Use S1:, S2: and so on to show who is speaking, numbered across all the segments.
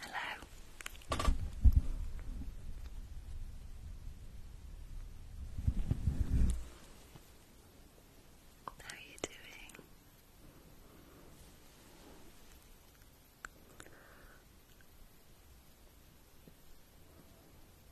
S1: Hello. How are you doing?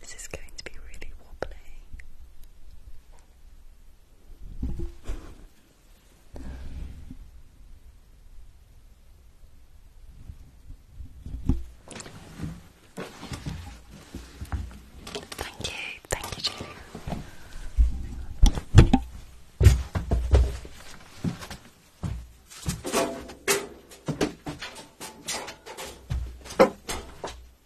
S1: This is going to be really wobbly. Thank you, thank you, Julie.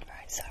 S1: All right. sorry.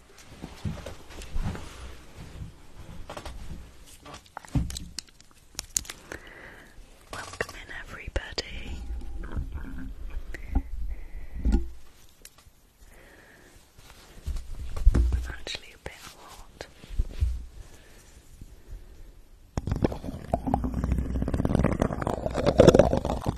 S1: Welcome in, everybody. actually a bit hot.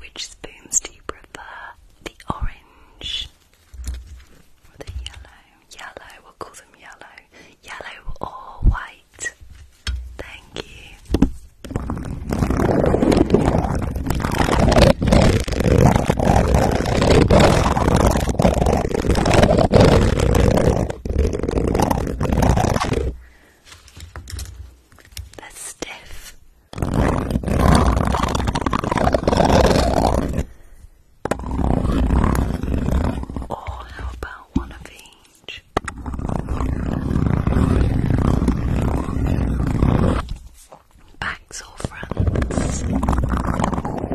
S2: Which spoons do you prefer? The orange or the yellow? Yellow, we'll call them yellow. Yellow or white. Thank you. That's stiff. Or how about one of each? Backs or fronts?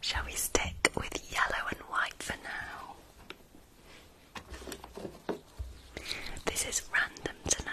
S1: Shall we stick with yellow and white for now? This is random tonight.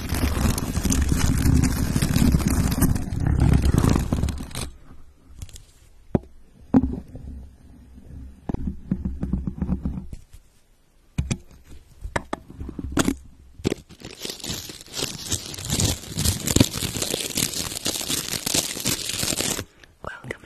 S1: Welcome in.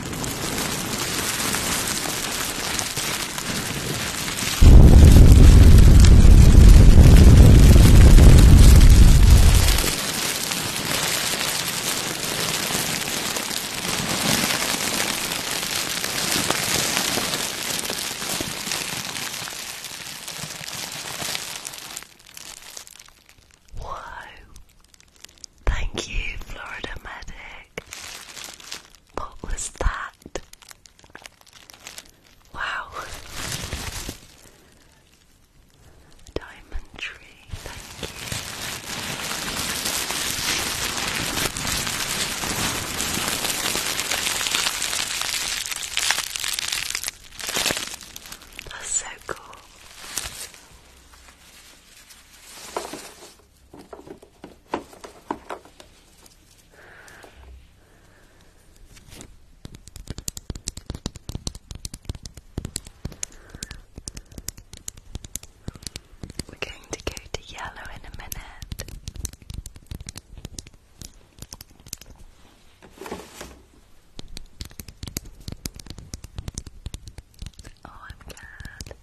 S1: Whoa, Thank you, Florida Medic. What was that? Wow. Diamond tree, thank you. That's so cool. We're going to go to yellow in a minute. Oh, I'm glad.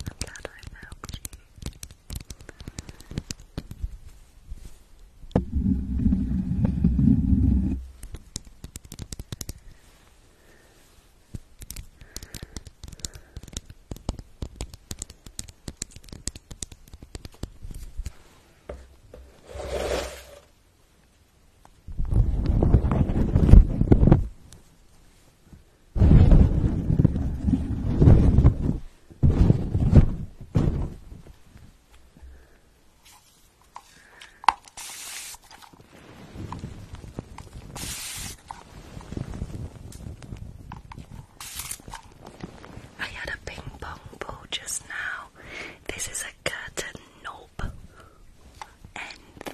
S1: I'm glad I've helped you. Thank I had a ping pong ball just now. This is a curtain knob end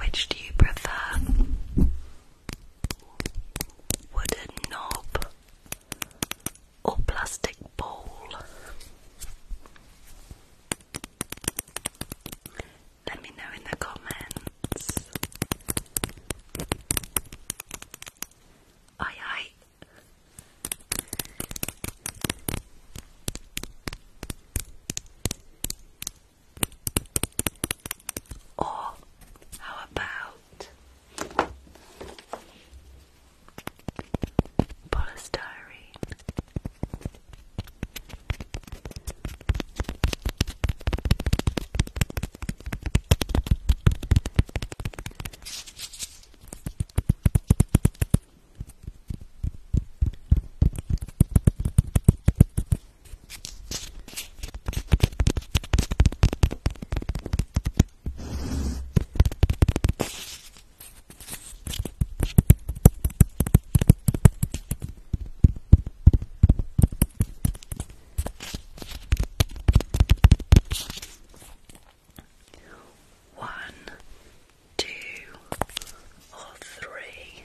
S1: which do you prefer? Wooden knob or plastic bowl? Let me know in the comments. Aye aye. Or how about polystyrene one, two, or three.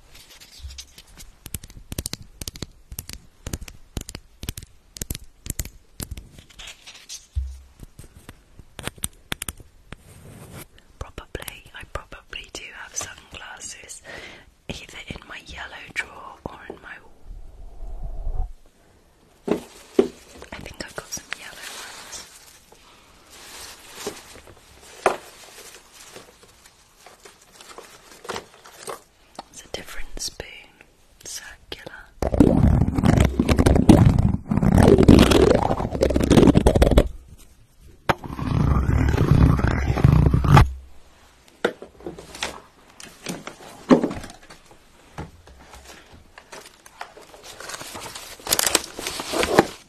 S1: Probably, I probably do have sunglasses either in my yellow drawer or in my. I think I've got some yellow ones. It's a different spoon, circular.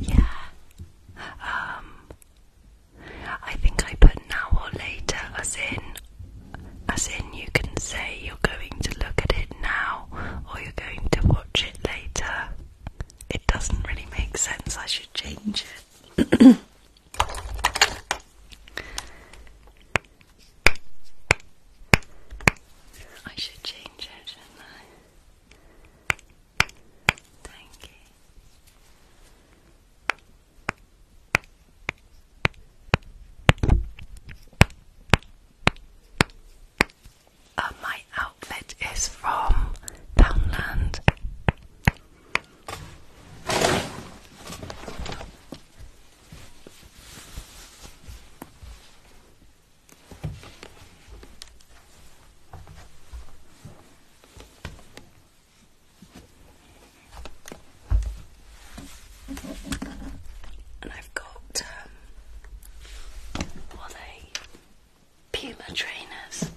S1: Yeah. Um I think I put now or later as in as in you can say you're going to look at it now or you're going to watch it later. It doesn't really make sense. I should change
S2: it. I should change it, shouldn't I? Thank you. Uh, my outfit is from Poundland.
S1: And I've got um, what are they? Puma trainers.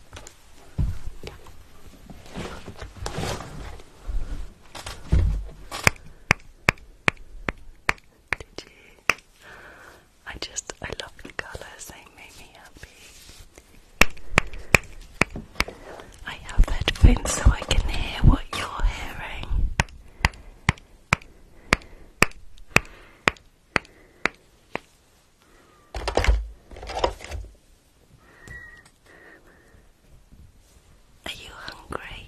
S1: I just I love the colours, they make me happy. I have headphones so I can hear what you're hearing. Are you hungry?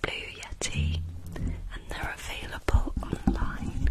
S1: Blue Yeti, and they're available online.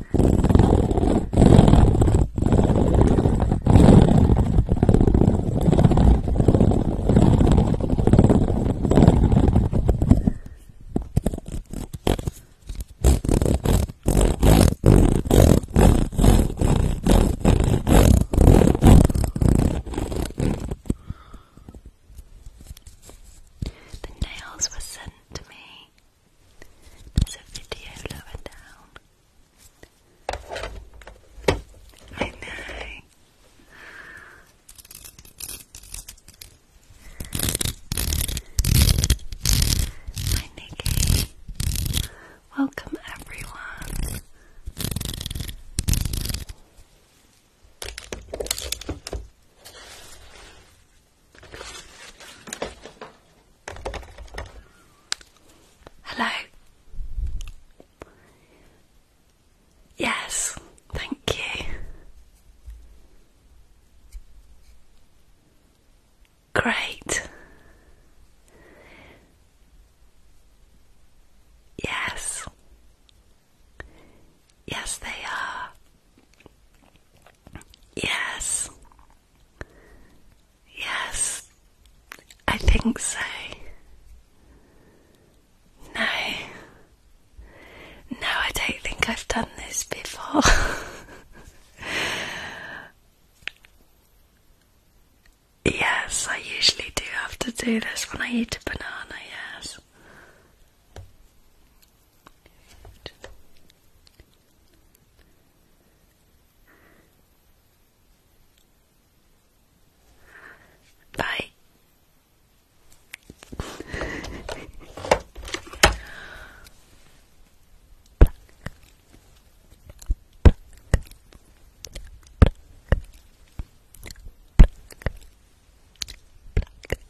S1: The nails were sent to me there's a video lower down. I know. Hi Nikki. Welcome everyone. Hello. Yes, thank you. Great. Yes. Yes, they are. Yes. Yes. I think so. No. No, I don't think I've done this before. yes, I usually do have to do this when I eat a banana, yes. Bye.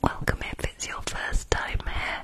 S1: Welcome if it's your first time here.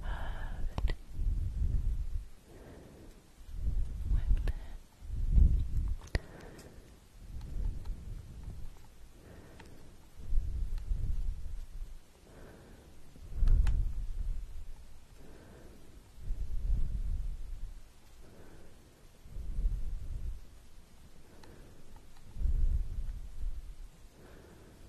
S1: Perfect. Wipe that. Perfect.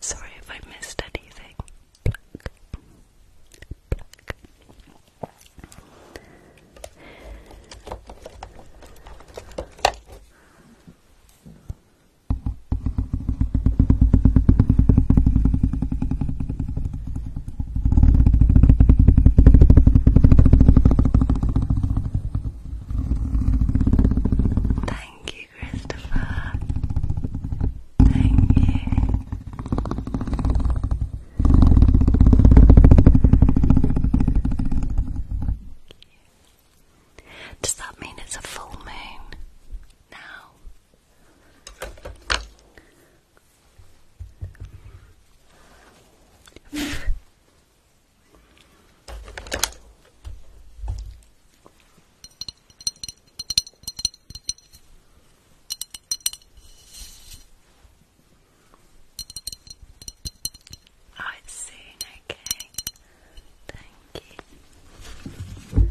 S1: Sorry if I missed anything. Pluck. Pluck. Christopher. Thank you. Does that mean it's a full
S2: moon now?
S1: Oh, it's soon, okay. Thank you. Okay.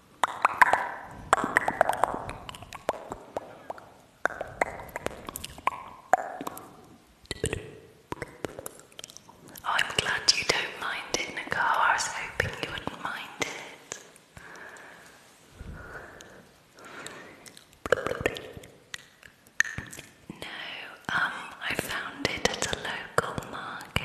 S1: Oh, I'm glad you don't mind it, Nicole. I was hoping you wouldn't mind it. No, um, I found it at a local market.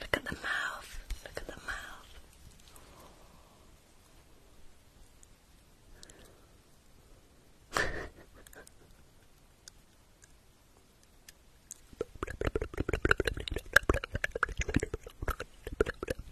S2: Look at the mouth. Look at the mouth.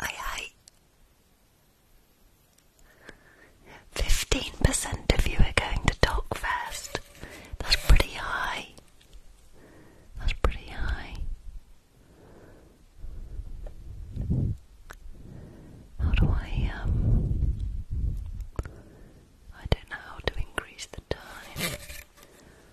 S1: Aye Fifteen percent of you are going to talk first. That's pretty high. That's pretty high. How do I um I don't know how to increase the time.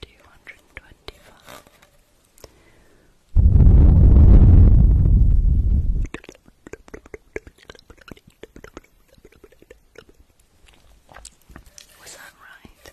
S1: two hundred and twenty five. Was that right?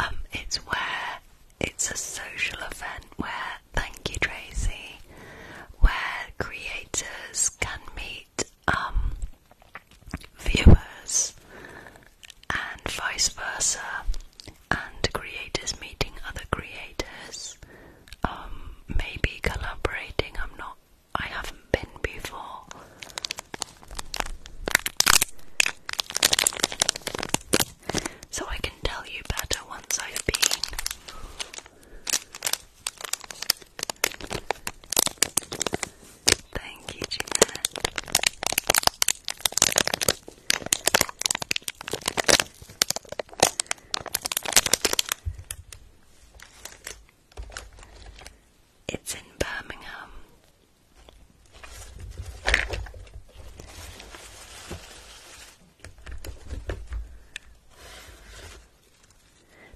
S1: Um, it's where it's a social event where, thank you, Tracy, where creators can meet um, viewers, and vice versa, and creators meeting other creators, um, maybe collaborating. I'm not, I haven't been before. So I can tell you better once I've been. Thank you, Jeanette. It's in Birmingham.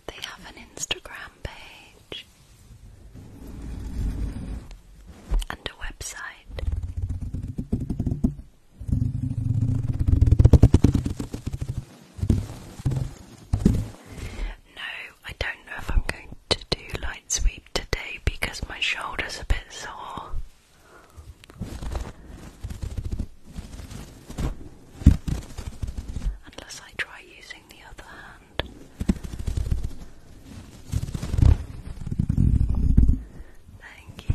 S1: They have an Instagram page and a website. No, I don't know if I'm going to do light sweep today because my shoulder's a bit sore. Unless I try using using the other hand. Thank you.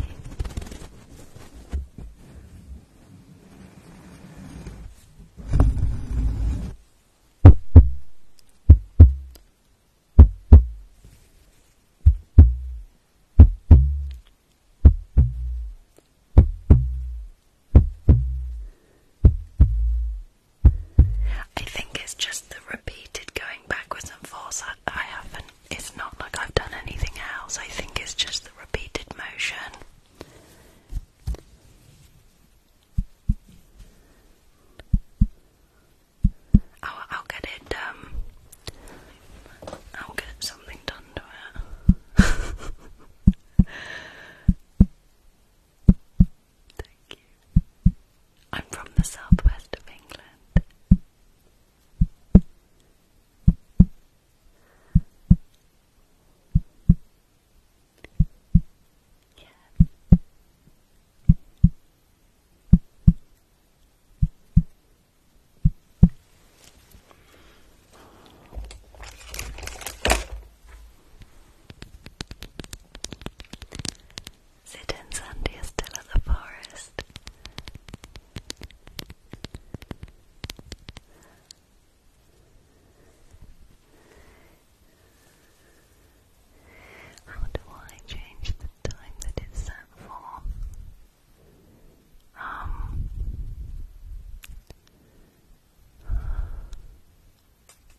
S1: I think it's just the repeated going backwards and forwards. I, haven't, it's not like I've done anything else. I think it's just the repeated motion. Oh, I'll, get it, um, I'll get something done to it. Thank you. I'm from the southwest of England. Yes. Sit in Sandy is still at the forest. How do I change the time that it's set for? Um,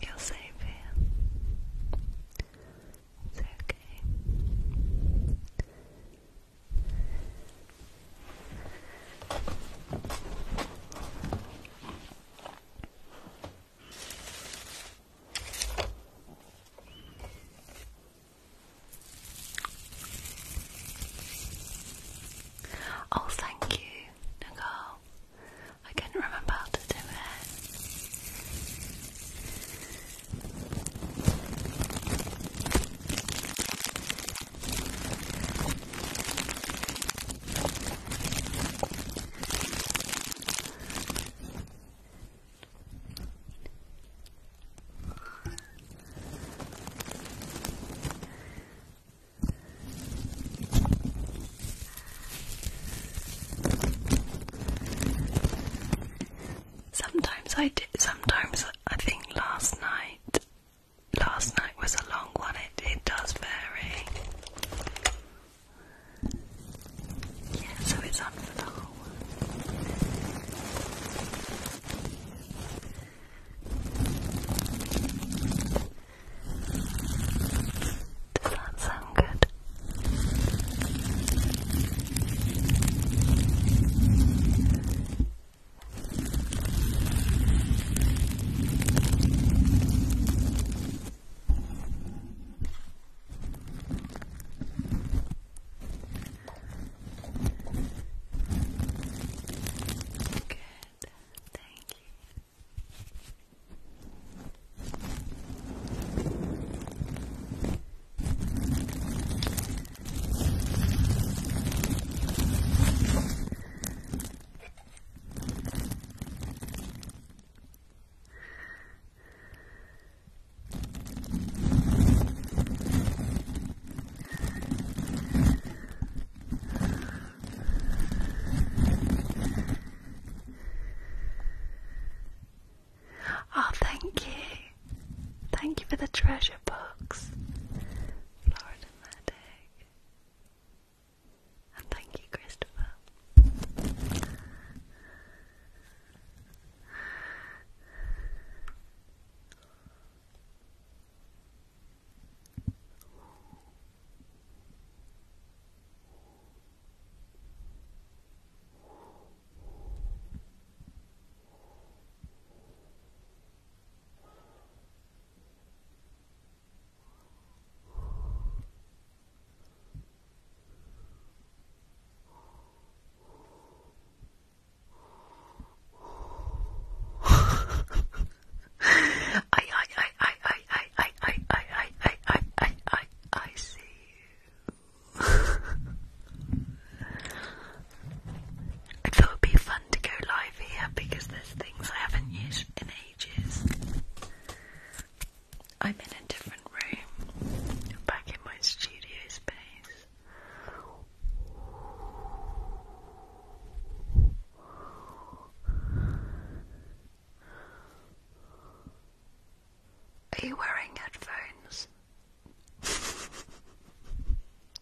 S1: You're safe here. It's okay. Oh, thank you, Nicole. I couldn't remember how to do it. Sometimes I did. Sometimes I think last night last night was a long one. It it does vary.
S2: Yeah, so it's on for the Does that sound good? Good,
S1: thank you. Oh, thank you. Thank you for the treasure box, and thank you, Christopher. I, I, I, I, I, I, I, I, I, I, I, I, I, I see you. I thought it would be fun to go live here because there's things I haven't used in ages. I'm in a different room, back in my studio space. Are you wearing headphones?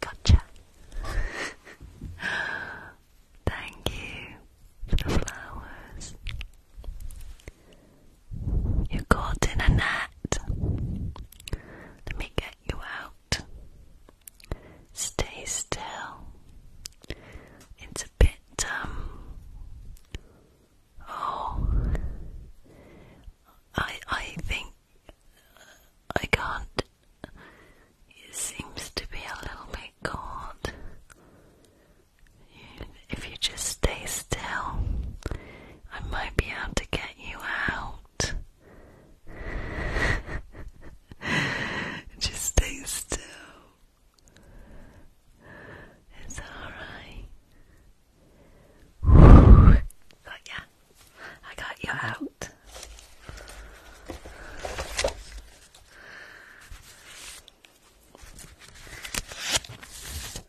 S1: Gotcha. Thank you for the flowers. You're caught in a net. Let me get you out. Stay still. It's a bit, um. Oh. I, I think I can't. It seems to be a little bit cold if you just stay still, I might be able to get you out. just stay still. It's alright. Got ya. I got you out.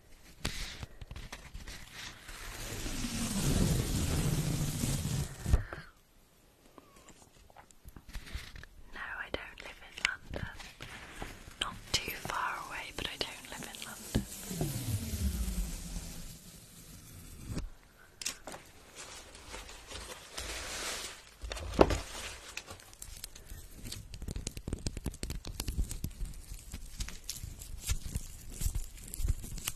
S1: No, I don't live in London. Not too far away, but I don't live in London.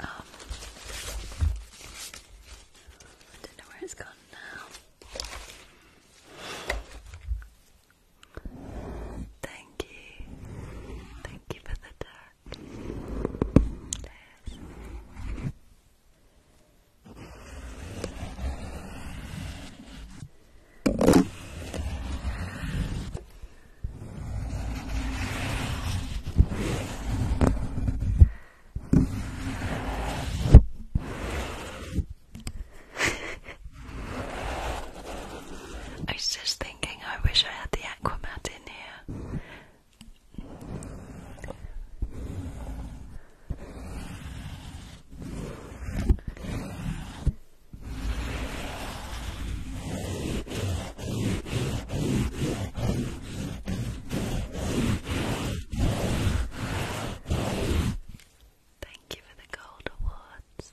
S1: Um, I don't know where it's gone now. Thank you. Thank you for the dark. I was just thinking, I wish I had the Aquamat in here.
S2: Thank you for the gold awards.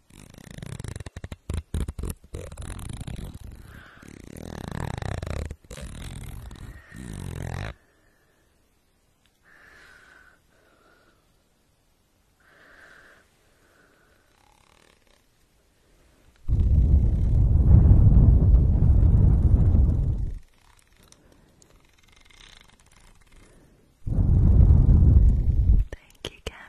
S2: Thank
S1: you, Cat.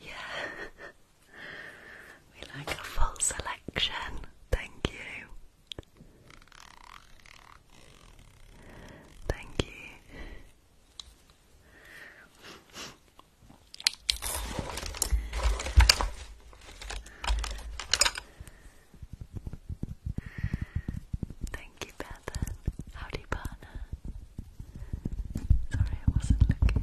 S1: Yeah. we like a full selection. Thank you. Thank you. Thank you, Bethan. How body partner. Sorry, I wasn't looking.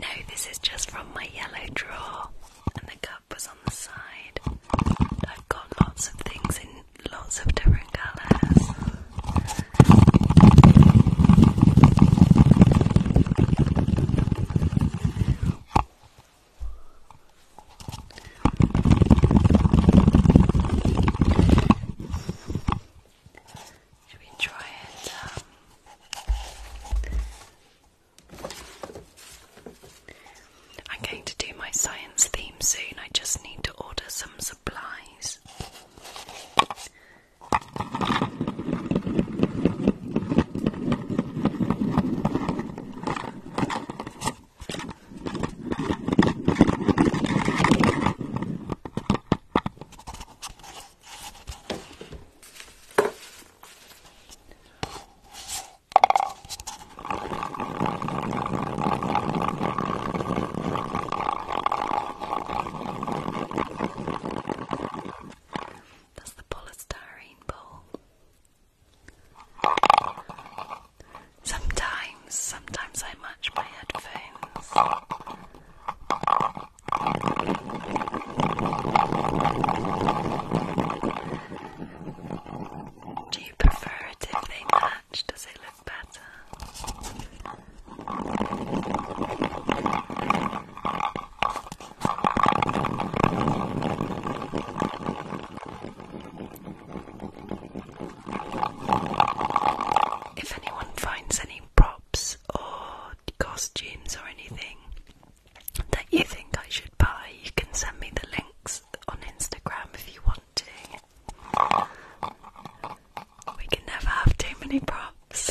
S1: No, this is just from my yellow drawer, and the cup was on the side. I've got lots of things in lots of different colours. Should we try it? Um, I'm going to do my science theme soon. I just need to order some supplies.
S2: That's the polystyrene bowl.
S1: Sometimes Sometimes
S2: I match my headphones.
S1: Do you prefer it if they match? Does it look better? If anyone finds any props or costumes or anything that you think I should buy, you can send me the links on Instagram if you want to.
S2: We can never have too many props.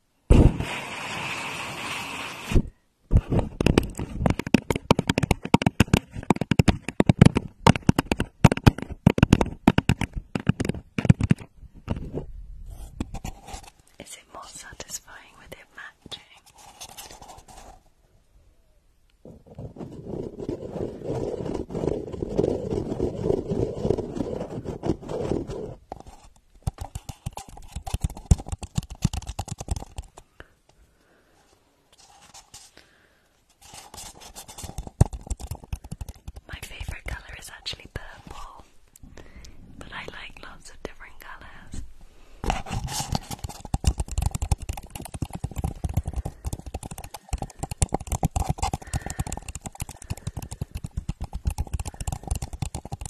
S1: Is it more satisfying with it matching? My favourite colour is actually purple, but I like lots of different colours.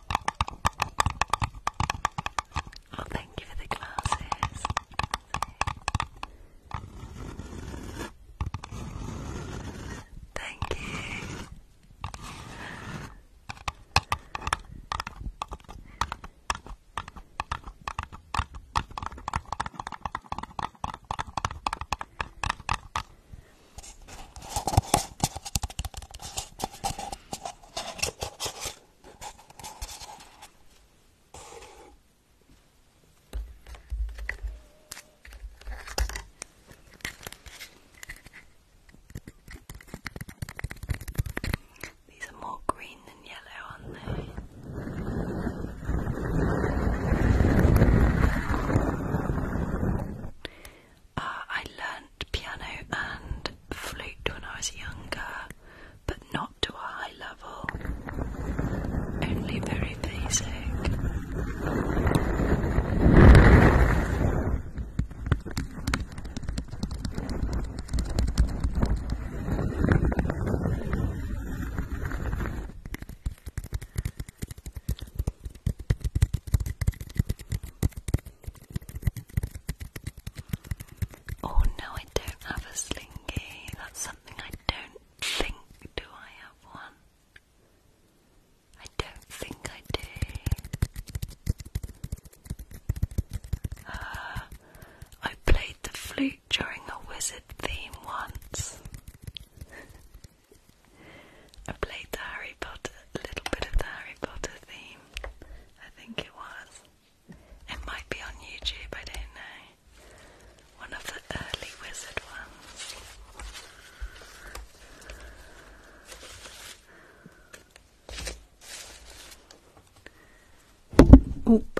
S2: Oh, thank you for the glasses. Thank you. These are more green
S1: than yellow, aren't they? Uh, I learn piano and flute when I was younger, but not to a high level, only very basic. Oh no, I don't have a slinky. That's something I don't think. Do I have one? I don't think I do. Uh, I played the flute during a wizard theme once. I played the Harry Potter, a little bit of the Harry Potter theme. I think it was. It might be on YouTube, I don't know. One of the early wizard ones. Oop.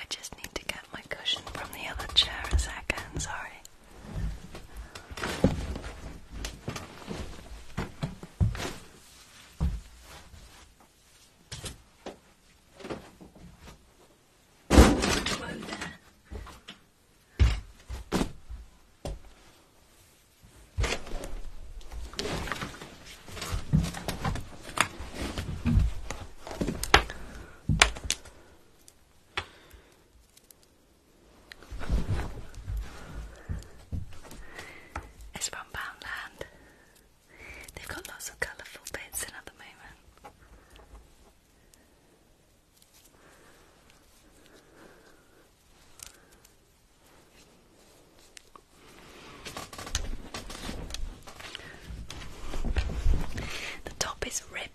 S1: I just need to get my cushion from the other chair a second, sorry. It's from Poundland. They've got lots of colourful bits in moment. The top is ripped.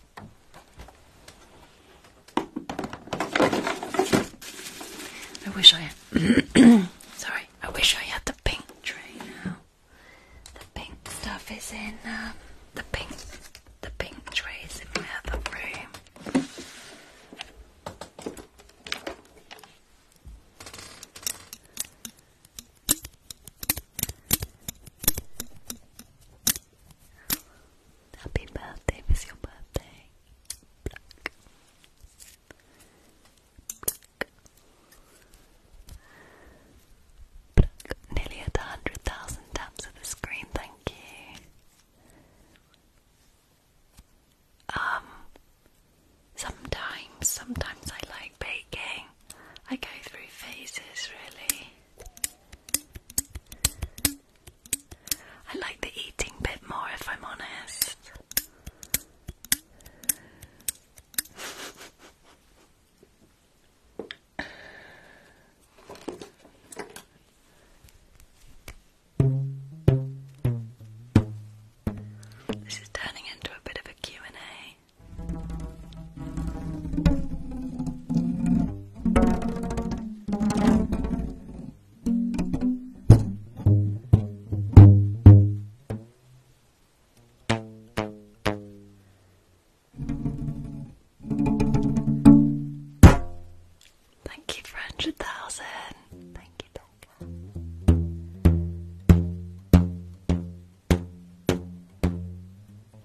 S1: I wish I had sorry, I wish I had the pink tray now. The pink stuff is in um, the pink the pink tray is in my other room. Happy birthday, it's your birthday. Nearly at 100,000 taps of the screen, thank you. Um, sometimes, sometimes I like baking. I go through phases, really. I like the eating bit more if I'm honest. This is turning into a bit of a and a Thank you for a hundred thousand. Thank you,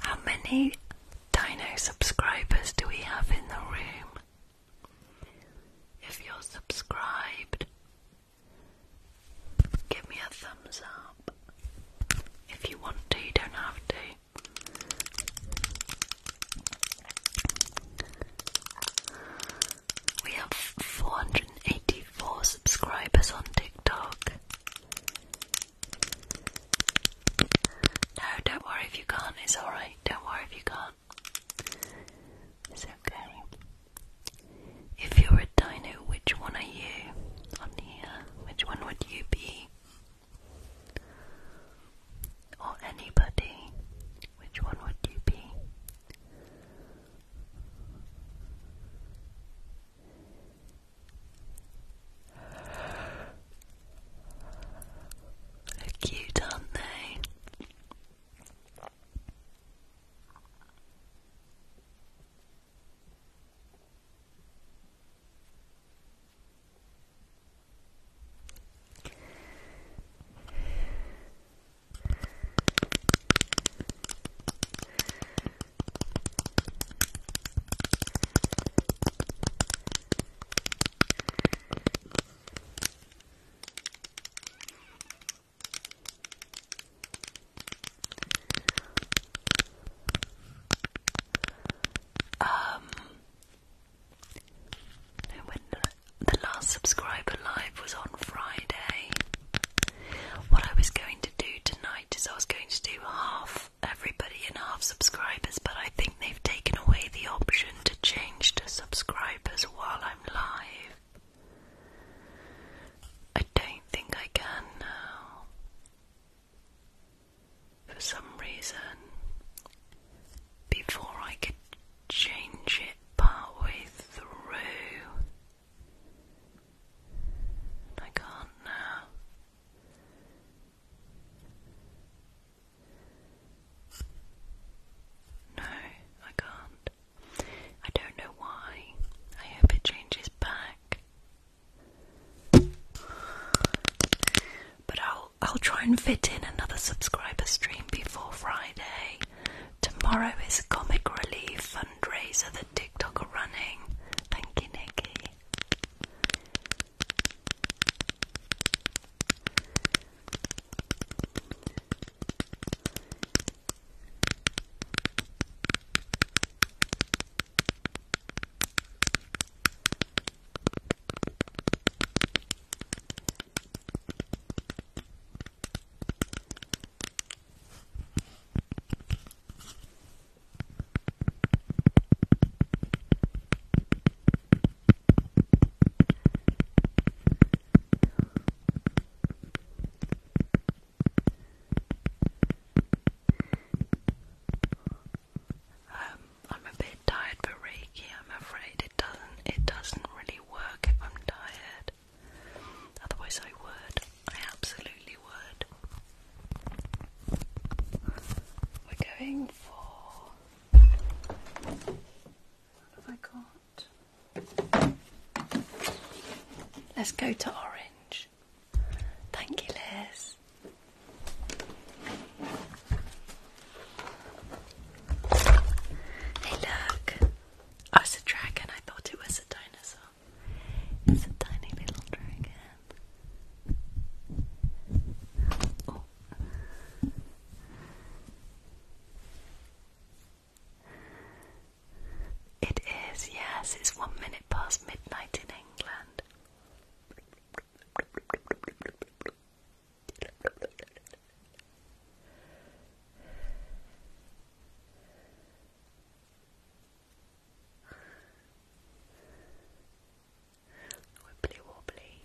S1: How many Dino subscribers do we have in the room? If you're subscribed, give me a thumbs up. If you want to, you don't have to. We have 484 subscribers on TikTok. No, don't worry if you can't, it's alright. Don't worry if you can't. It's okay. If you're a dino, which one are you? On here, which one would you be? Or anybody, which one would you be? they cute are not they um, I wonder the last subscriber live was on Friday. What I was going to do tonight is I was going to do half everybody and half subscribers, but I think they've taken away the option to change to subscribers while I'm live. I don't think I can now. For some reason, before I could change it partway through, I can't now. No, I can't. I don't know why. I hope it changes back. But I'll I'll try and fit in another subscriber stream before Friday. Tomorrow is Comic Relief fundraiser The TikTok are running. Thank you, Nikki. Um, I'm a bit tired for Reiki. I'm afraid it doesn't it doesn't really work if I'm tired. Otherwise, I would. I absolutely
S2: would. We're going for. What have
S1: I got? Let's go to orange. Thank you, Liz. Hey, look. I was a dragon. I thought it was Oh. It is, yes, it's one minute past midnight in England. Wibbly wobbly.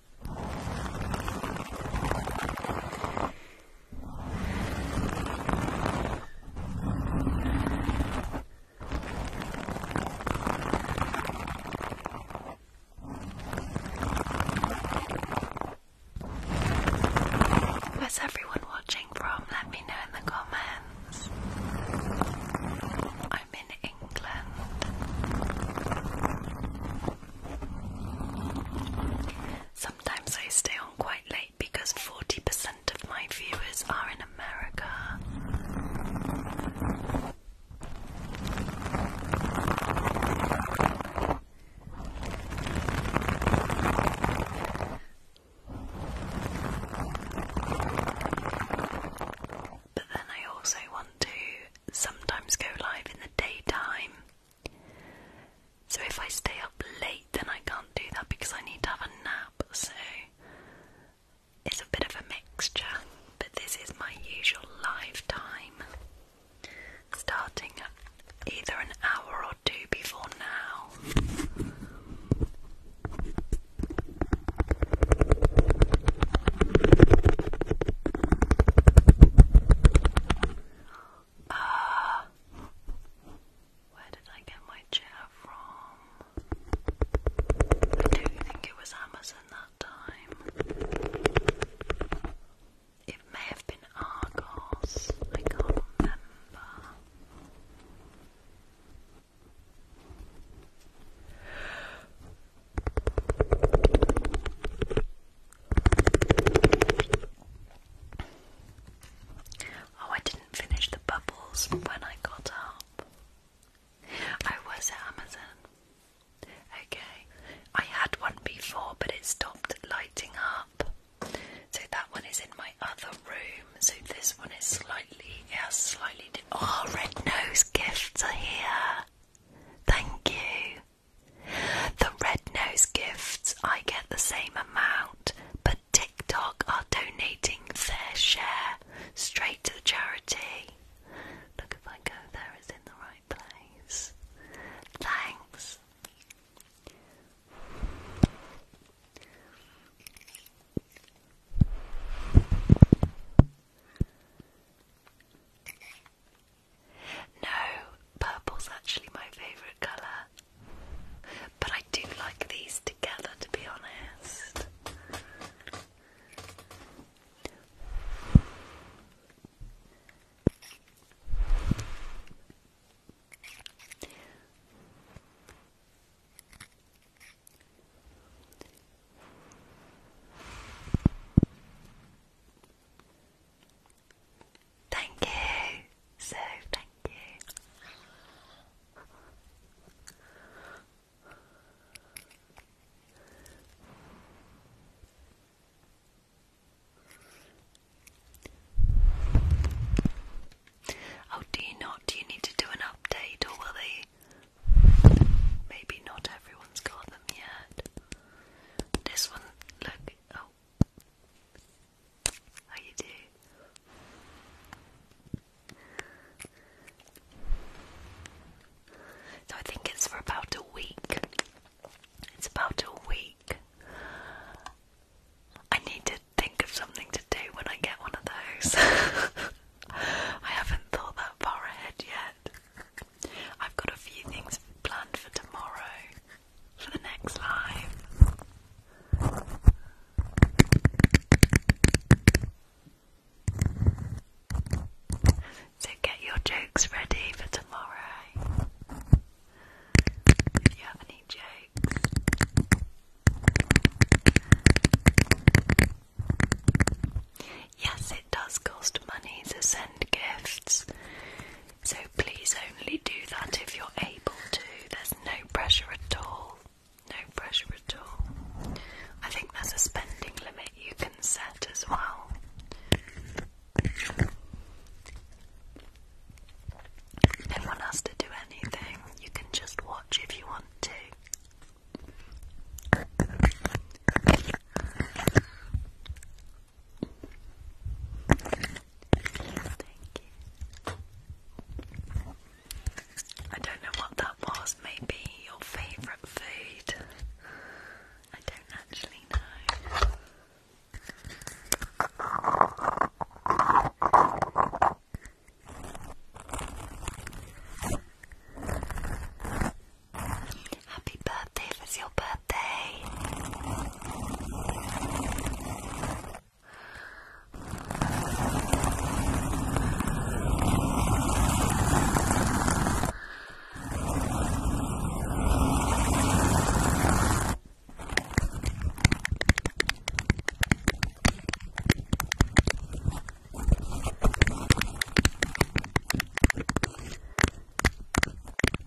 S1: Where's everyone watching from? Let me know in the comments. I'm in England. Sometimes I stay on quite late because 40% of my viewers are in America. But then I also want to sometimes go live in the daytime so if I stay up late, then I can't do that because I need to have a nap. So it's a bit of a mixture, but this is my usual live time. Starting either an hour or two before now. Ah, where did I get my chair from? I do think it was Amazon that time. It may have been Argos. I can't remember. Oh, I didn't finish the bubbles when I got up. I was at Amazon. Okay, I had one before, but it stopped lighting up. So that one is in my other room. So this one is slightly, yeah, slightly. Oh, red nose gifts are here. Thank you. The Red Nose gifts, I get the same amount, but TikTok are donating their share straight to the charity. Look, if I go there, it's in the right place.
S2: Thanks. No, purple's
S1: actually my favourite colour. But I do like these together, to be honest. Thank you. So thank you. Oh, do you not? Do you need to do an update, or will they? Maybe not everyone's got them yet. This one, look. Oh, Oh, you do? So I think it's for about a week. It's about a week. I need to think of something to do when I get one of those. I haven't thought that far ahead yet. I've got a few things planned for tomorrow, for the next live. So get your jokes ready for tomorrow. If you have any jokes. Yes, it does cost money to send gifts. So please only do that if you're able to. There's no pressure at all. No pressure at all. I think that's a spending limit you can set as well. No one has to do anything. You can just watch if you want to. I don't know what that was. Maybe your favourite food. I don't actually know. Happy birthday birthday is your birthday.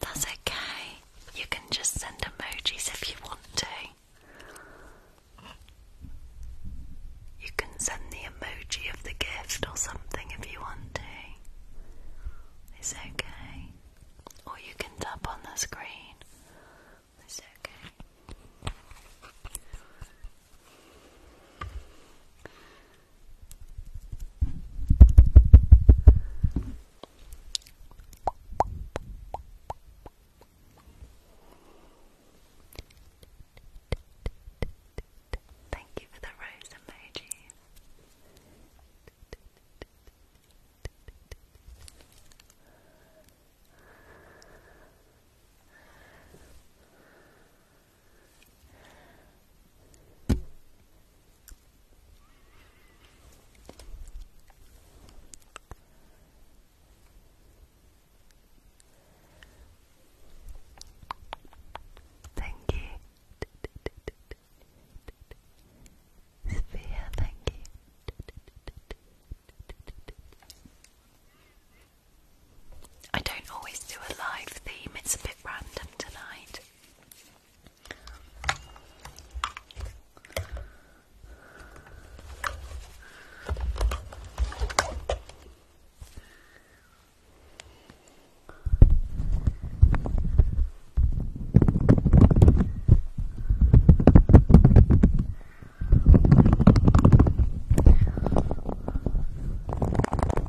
S1: That's okay. You can just send emojis if you want to. You can send the emoji of the gift or something if you want to. It's okay. Or you can tap on the screen. It's okay. Thank you for the rose emoji. Thank you. Sophia, thank you. I don't always do a live theme, it's a bit random tonight.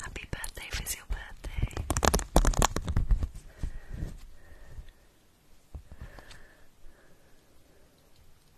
S1: Happy birthday, for your birthday.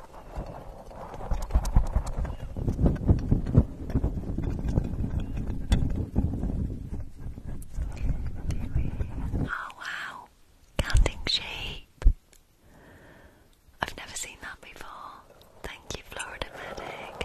S1: Oh wow, counting sheep. I've never seen that before. Thank you, Florida Medic.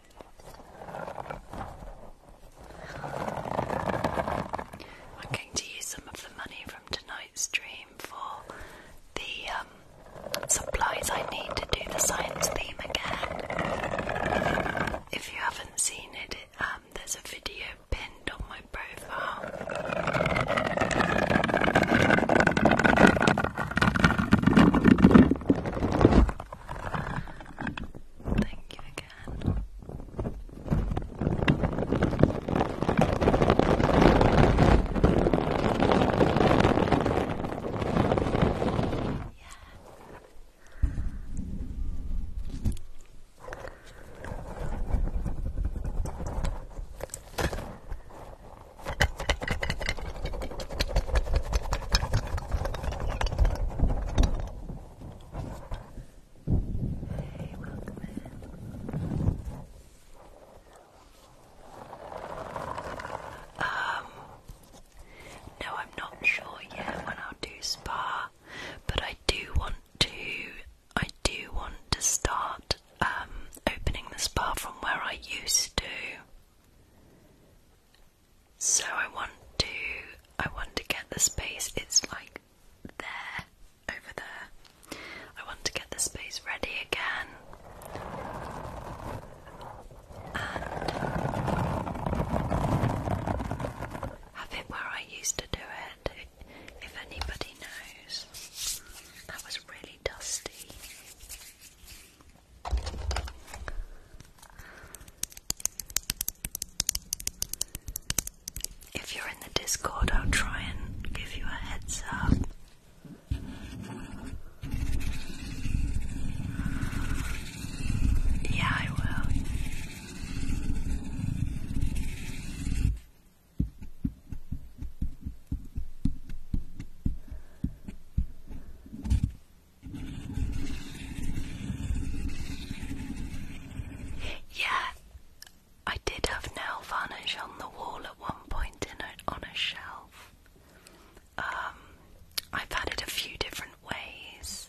S1: I'm going to use some of the money from tonight's stream for the um, supplies I need to do the science theme again. If you haven't seen it, um, there's a video pinned on my profile. Thank you again. Yeah. Hey, welcome in. Um, no, I'm not sure yet when I'll do spa, but I do want to. I do want to start um, opening the spa from where I used to. So I want to I want to get the space it's like there over there. I want to get the space ready again. And have it where I used to do it. If anybody knows, that was really dusty. If you're in the Discord, I'll try and give you a heads up. Yeah, I will. Yeah, I did have nail varnish on the wall at one point in a, on a shelf. Um, I've had it a few different ways.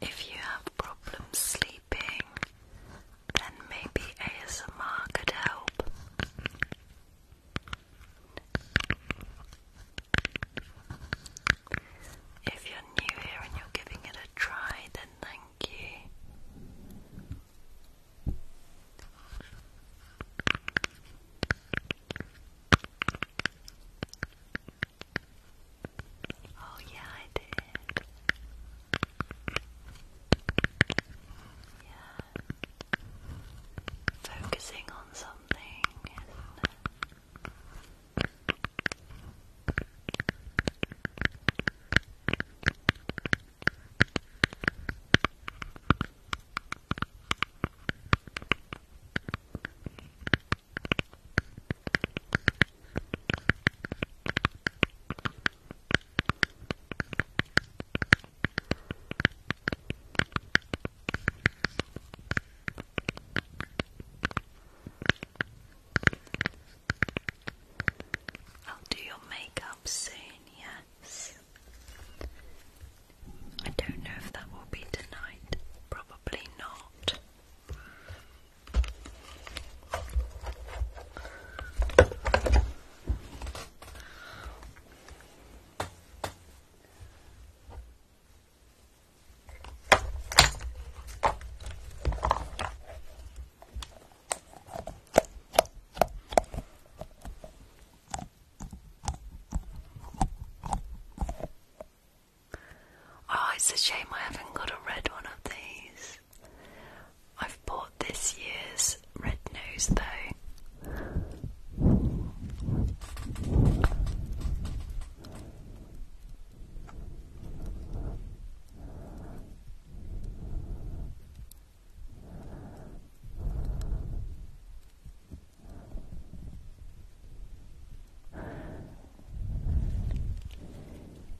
S1: If you have problems sleeping, then maybe ASMR could help. If you're new here and you're giving it a try, then thank you. Oh, yeah, I did. Yeah. Focusing on something, isn't it? Good. I'll do your makeup soon, yes. I don't know if that will be tonight, probably not. Oh, it's a shame I haven't got a red one of these. I've bought this year's red nose though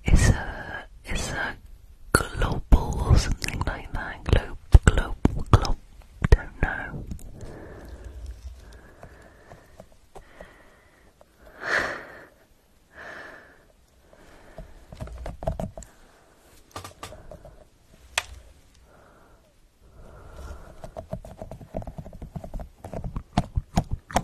S1: is a is a global or something like that. Globe, globe, globe. Don't know.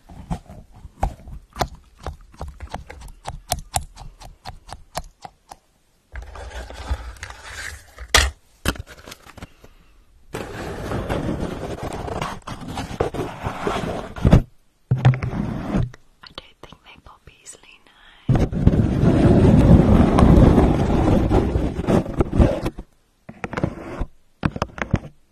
S1: I don't think they pop easily now.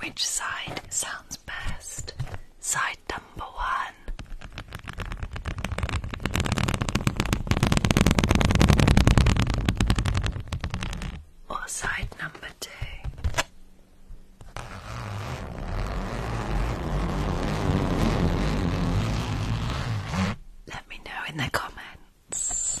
S1: Which side sounds best? Side number one. Or side number two. Let me know in the comments.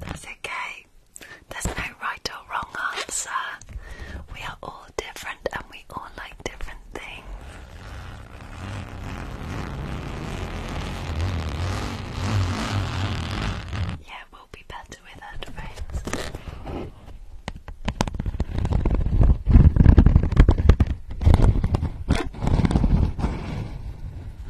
S1: That's okay. There's no right or wrong answer. We are all different and we all like different things. Yeah, we'll be better with friends.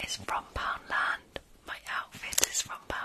S1: It's from Poundland. My outfit is from Poundland.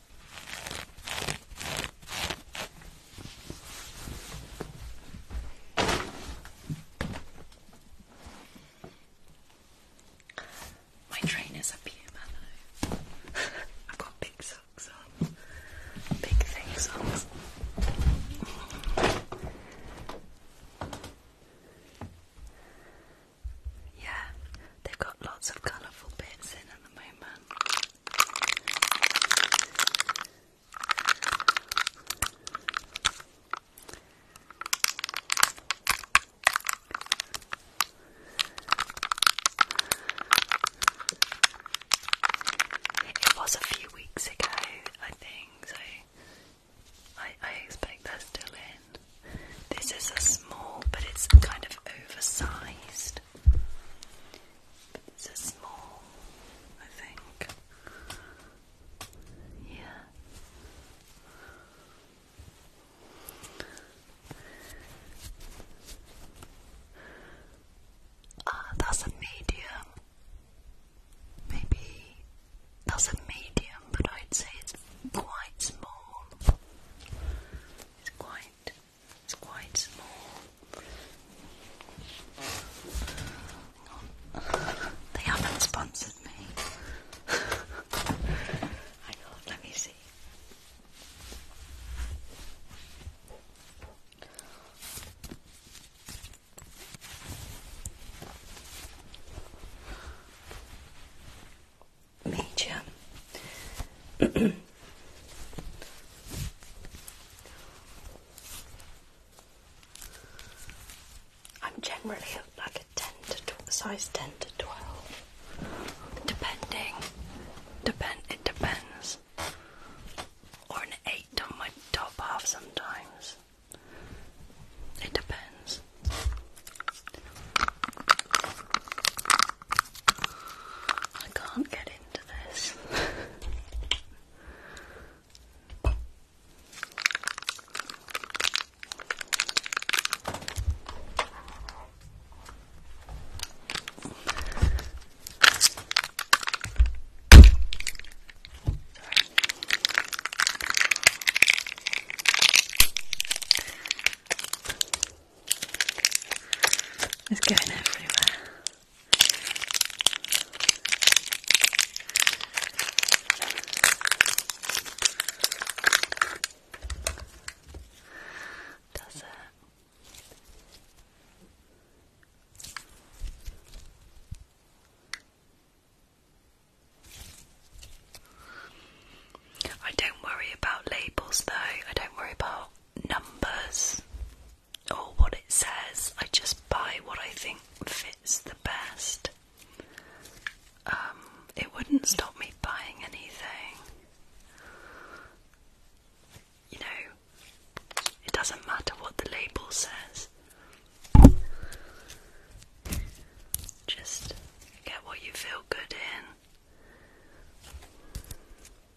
S1: My trainers are puma though. I've got big socks on. Big thing socks. Yeah, they've got lots of colourful bits in at the moment. It was a few weeks ago, I think, so I, I expect they're still in. This is a small, but it's kind of oversized it's a small, I think. Yeah. Ah, that's a medium. Maybe that's a medium, but I'd say it's quite small. It's quite it's quite small. they haven't sponsored me. Hang on, let me see. Medium. I'm generally like a 10 to size 10 to 12, depending. Depend it depends. Or an 8 on my top half sometimes. It depends. I can't get in to this. It's going everywhere. Does it? I don't worry about labels though, I don't worry about numbers or what it says. I just buy what I think fits the best. Um, it wouldn't stop me buying anything. You know, it doesn't matter what the label says. Just get what you feel good in.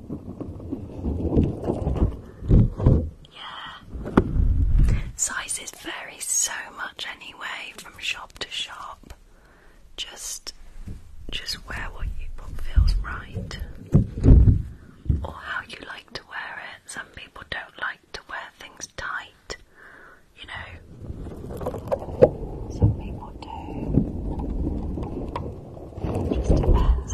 S1: Yeah. Sizes vary so much anyway from shop to shop. Just just wear what you what feels right. Or how you like to wear it. Some people don't like to wear things tight, you know. Some people do. just depends.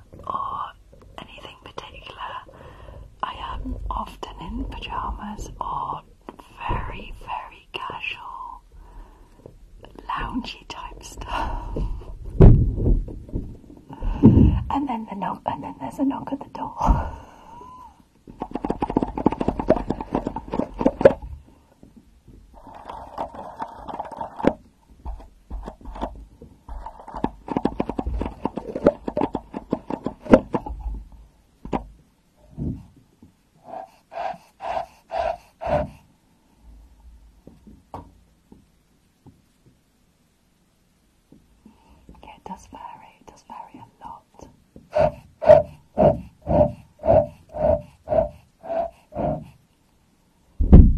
S1: or anything particular. I am often in pajamas or very, very casual, loungey type stuff. and then the knock, and then there's a knock at the door. Yeah, it does vary, it does vary a lot. And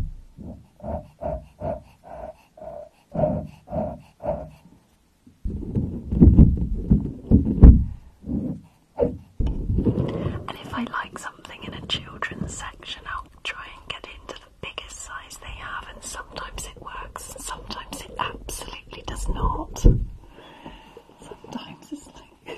S1: if I like something in a children's section, I'll try and get into the biggest size they have, and sometimes it works, and sometimes it absolutely does not. Sometimes it's like.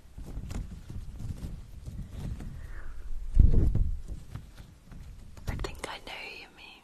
S1: I think I know you mean.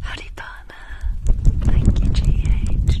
S1: Howdy, partner. Thank you, GH.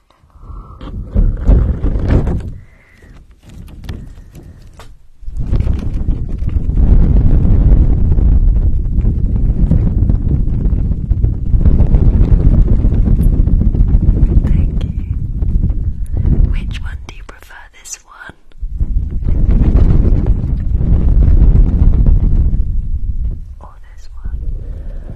S1: Thank you. Which one do you prefer? This one? Or this one?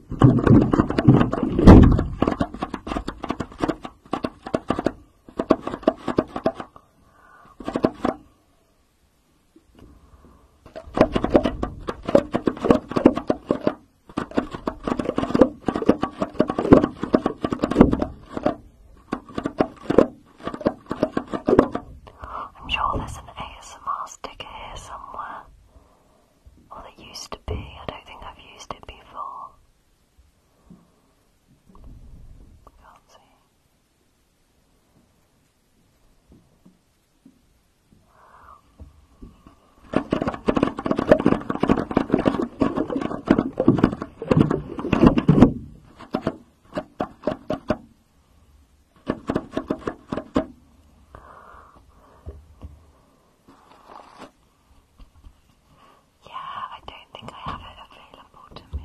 S1: I'm sure there's an ASMR sticker here somewhere. Well, it used to be. I don't think I've used it before. Yeah, I don't think I have it available to me.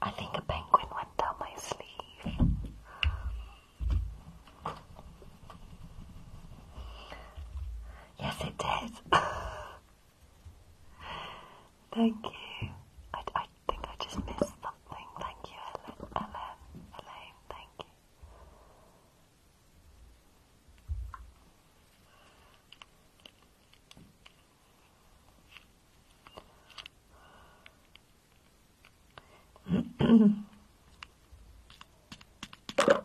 S1: I think a penguin went down my sleeve. Yes, it did.
S2: Thank you. I, I think I just missed something. Thank you, Ellen. Ellen. Elaine, thank you.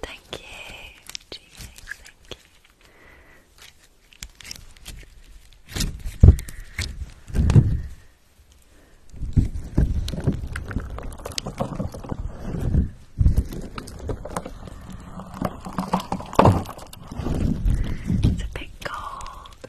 S2: Thank you, thank you. It's a bit cold.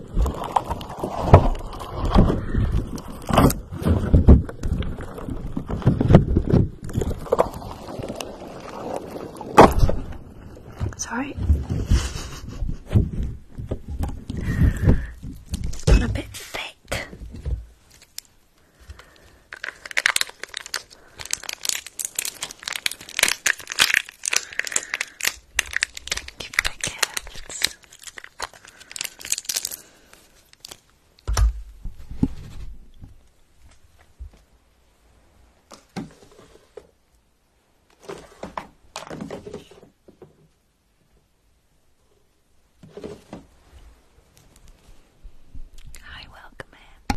S2: It's alright. a bit thick. Thank you for the gifts. Hi, welcome in.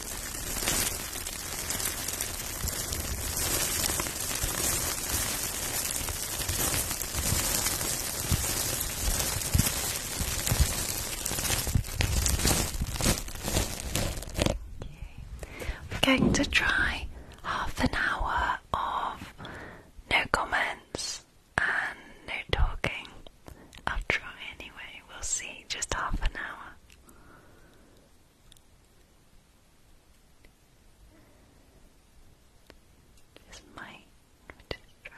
S1: We're going to try half an hour of no comments and no talking. I'll try anyway, we'll see. Just half an hour. This might just try.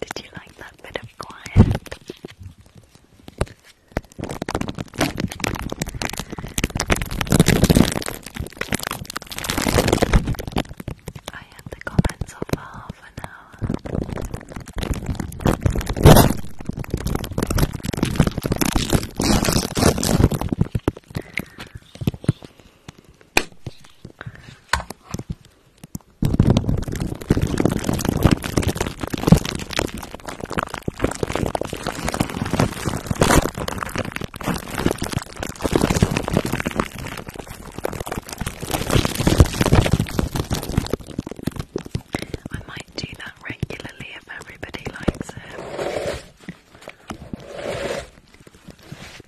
S1: Did you like that bit of quiet? I had the comments off for half I might do that regularly if everybody likes it.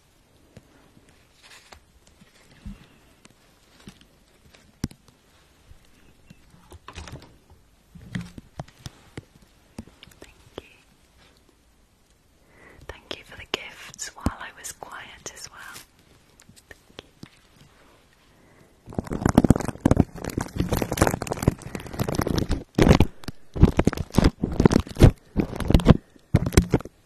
S1: Thank you. Thank you for the gifts while I was quiet as well.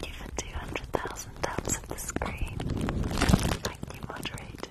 S1: Thank you for 200,000 taps of the screen. Thank you, moderator.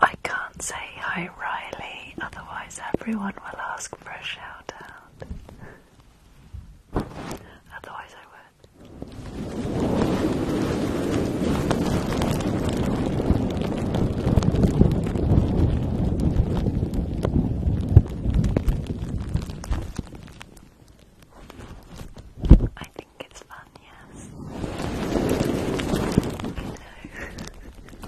S1: I can't say how Riley, otherwise, everyone will ask for a shout out. Otherwise, I would. I think it's fun, yes.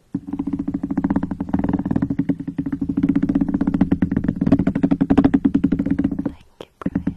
S1: Thank you, Brian.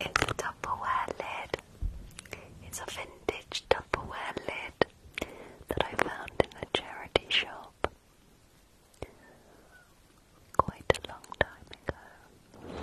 S1: It's a Tupperware lid. It's a vintage Tupperware lid that I found in a charity shop quite a long time ago.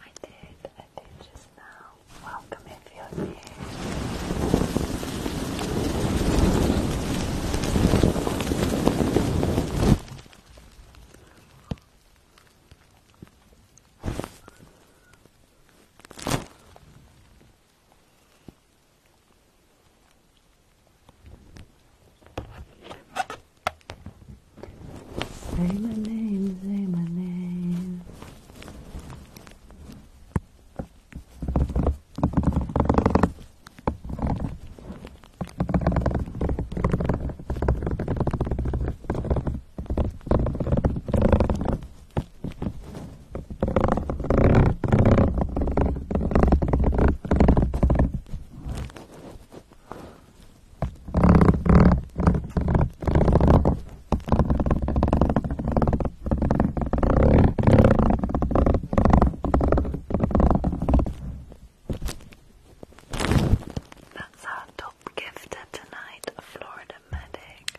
S1: I did, I did just now. Welcome if you're here. Say my name, say my name. That's our top gifter tonight, a Florida medic.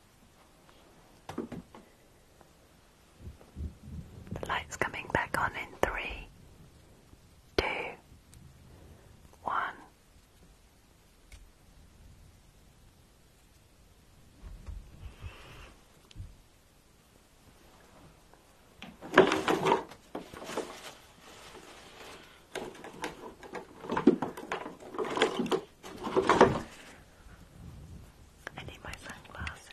S1: The light's coming back on in three, two, one. I need my sunglasses.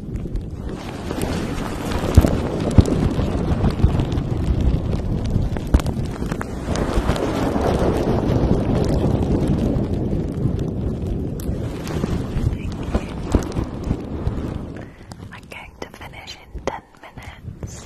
S1: I'm going to finish in ten minutes.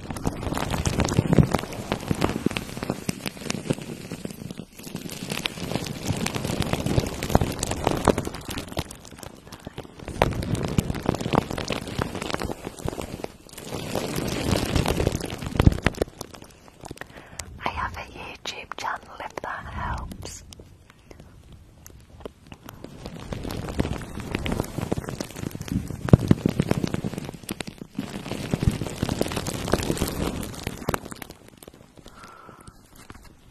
S1: I have a YouTube channel if that helps.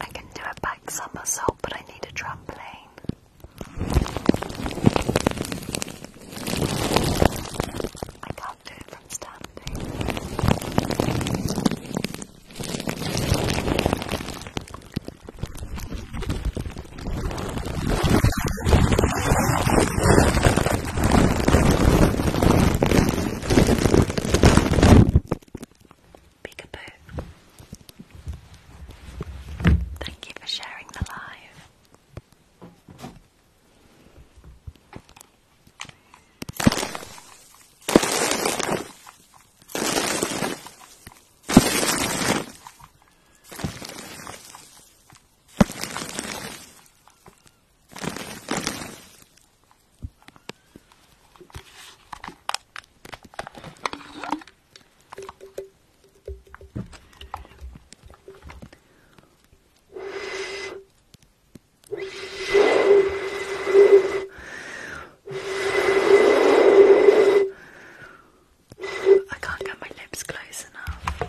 S1: I can do a back somersault, but I need a trampoline. I can't do it from standing. Peekaboo. Thank you for sharing the live. I can't get my lips close enough.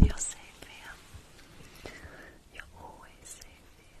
S1: You're safe here. You're always safe here.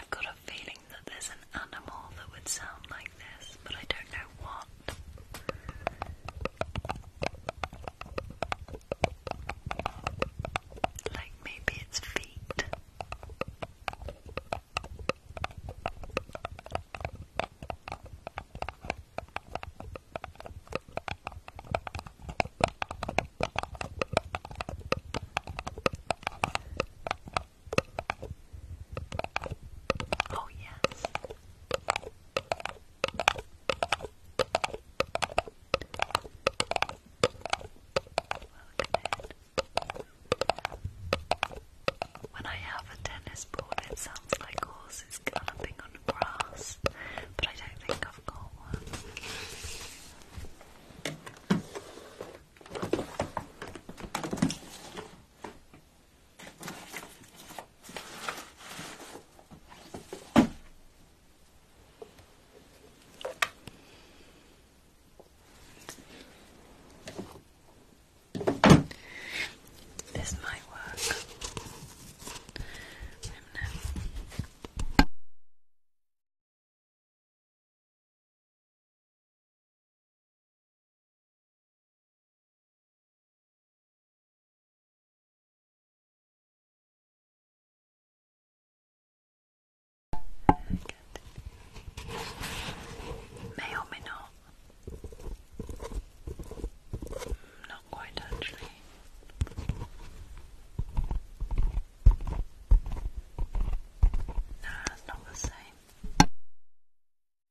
S1: I've got a feeling that there's an animal that would sound like this, but I don't know what. Like maybe it's feet. Oh, yes, when I have a tennis ball, it sounds like horses galloping on grass, but I don't think I've got one. This might work. I don't know. May or may not. Not quite actually. No, that's not the same.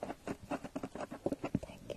S1: Thank you, Brian. Thank you.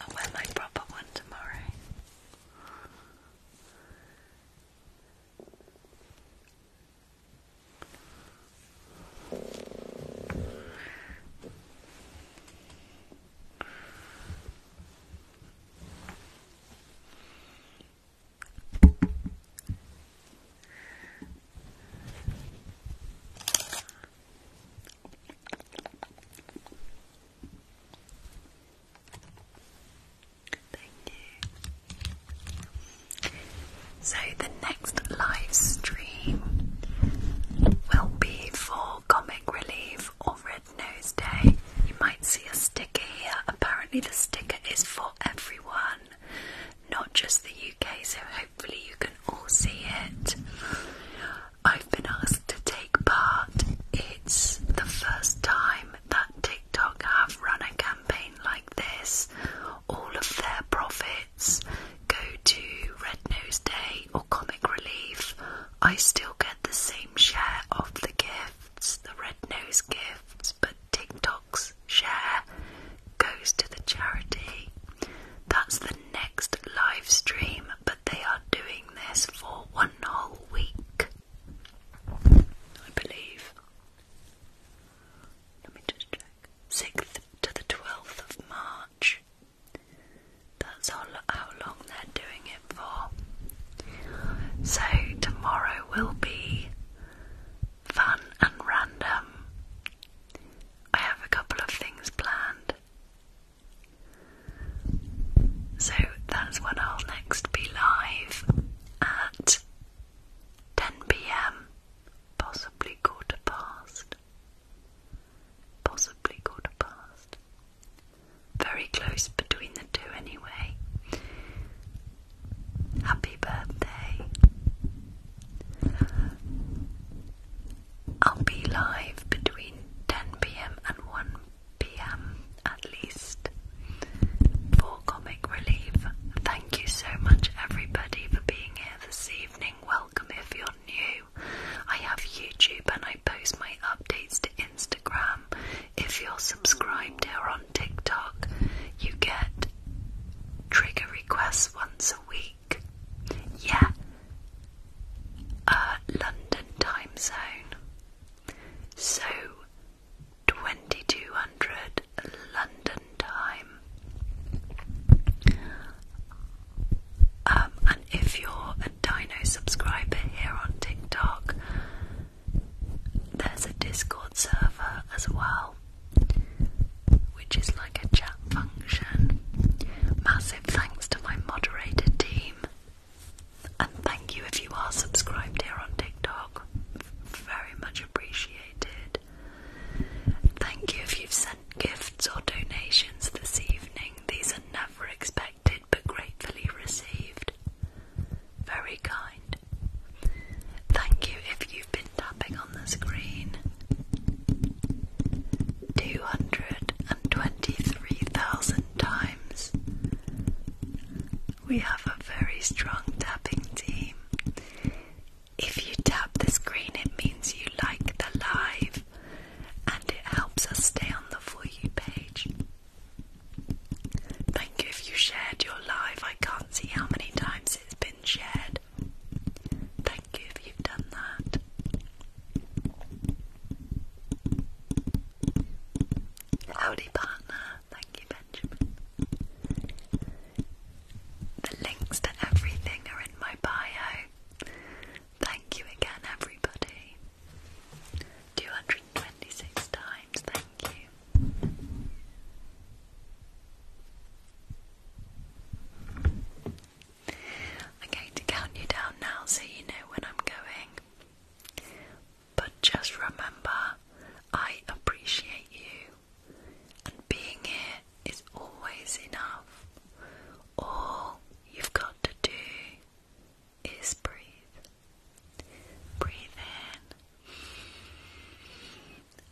S1: I'll wear my proper one tomorrow. Thank you. So, the next live stream will be for comic relief or Red Nose Day. You might see a sticker here. Apparently, the sticker is for everyone, not just the UK, so hopefully, you can all see it. I've been asked to take part. It's the first time that TikTok have run a campaign like this. All of their profits go to Red Nose Day or Comic Relief. I still get the same share of the gift gifts, the red nose gifts, but TikTok's share goes to the charity. That's the next live stream, but they are doing this for one whole week, I believe. Let me just check. 6th to the 12th of March. That's how long they're doing it for. So, tomorrow will be fun and random. I have a couple of things planned. So, that's when I'll next be live at 10 pm, possibly quarter past. Possibly quarter past. Very close between the two, anyway. Happy birthday. I'll be live between 10pm and 1pm at least for Comic Relief. Thank you so much, everybody, for being here this evening. Welcome if you're new. I have YouTube and I post my updates to Instagram if you're subscribed here on TikTok, you get trigger requests once a week. Yeah, uh, London time zone. So, 2200 London time. Um, and if you're a Dino subscriber here on TikTok, there's a Discord server as well, which is like a chat function. Massive thanks to my moderated team, and thank you if you are subscribed here on TikTok. Very much appreciated. Thank you if you've sent gifts or donations this evening. These are never expected but gratefully received. Very kind. Thank you if you've been tapping on the screen. 223,000 times. We have a very strong tapping team. If you tap the screen, it means you like the live and it helps us stay on the For You page. Thank you if you shared your live. I can't see how many times it's been shared. Thank you if you've done that. Howdy, partner. Thank you, Benjamin. The links to everything are in my bio. Thank you again, everybody. 200 126 times, thank you. I'm going to count you down now so you know when I'm going. But just remember, I appreciate you, and being here is always enough. All you've got to do is breathe. Breathe in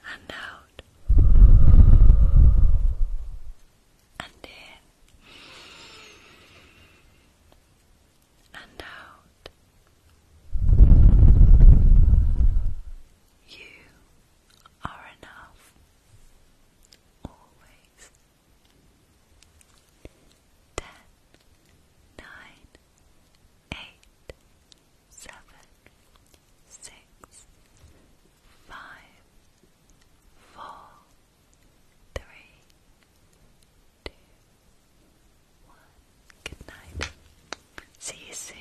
S1: and out and in and out. You are enough. Always. Ten, nine, eight, seven, six, five, four, three, two, one. Good night. See you soon.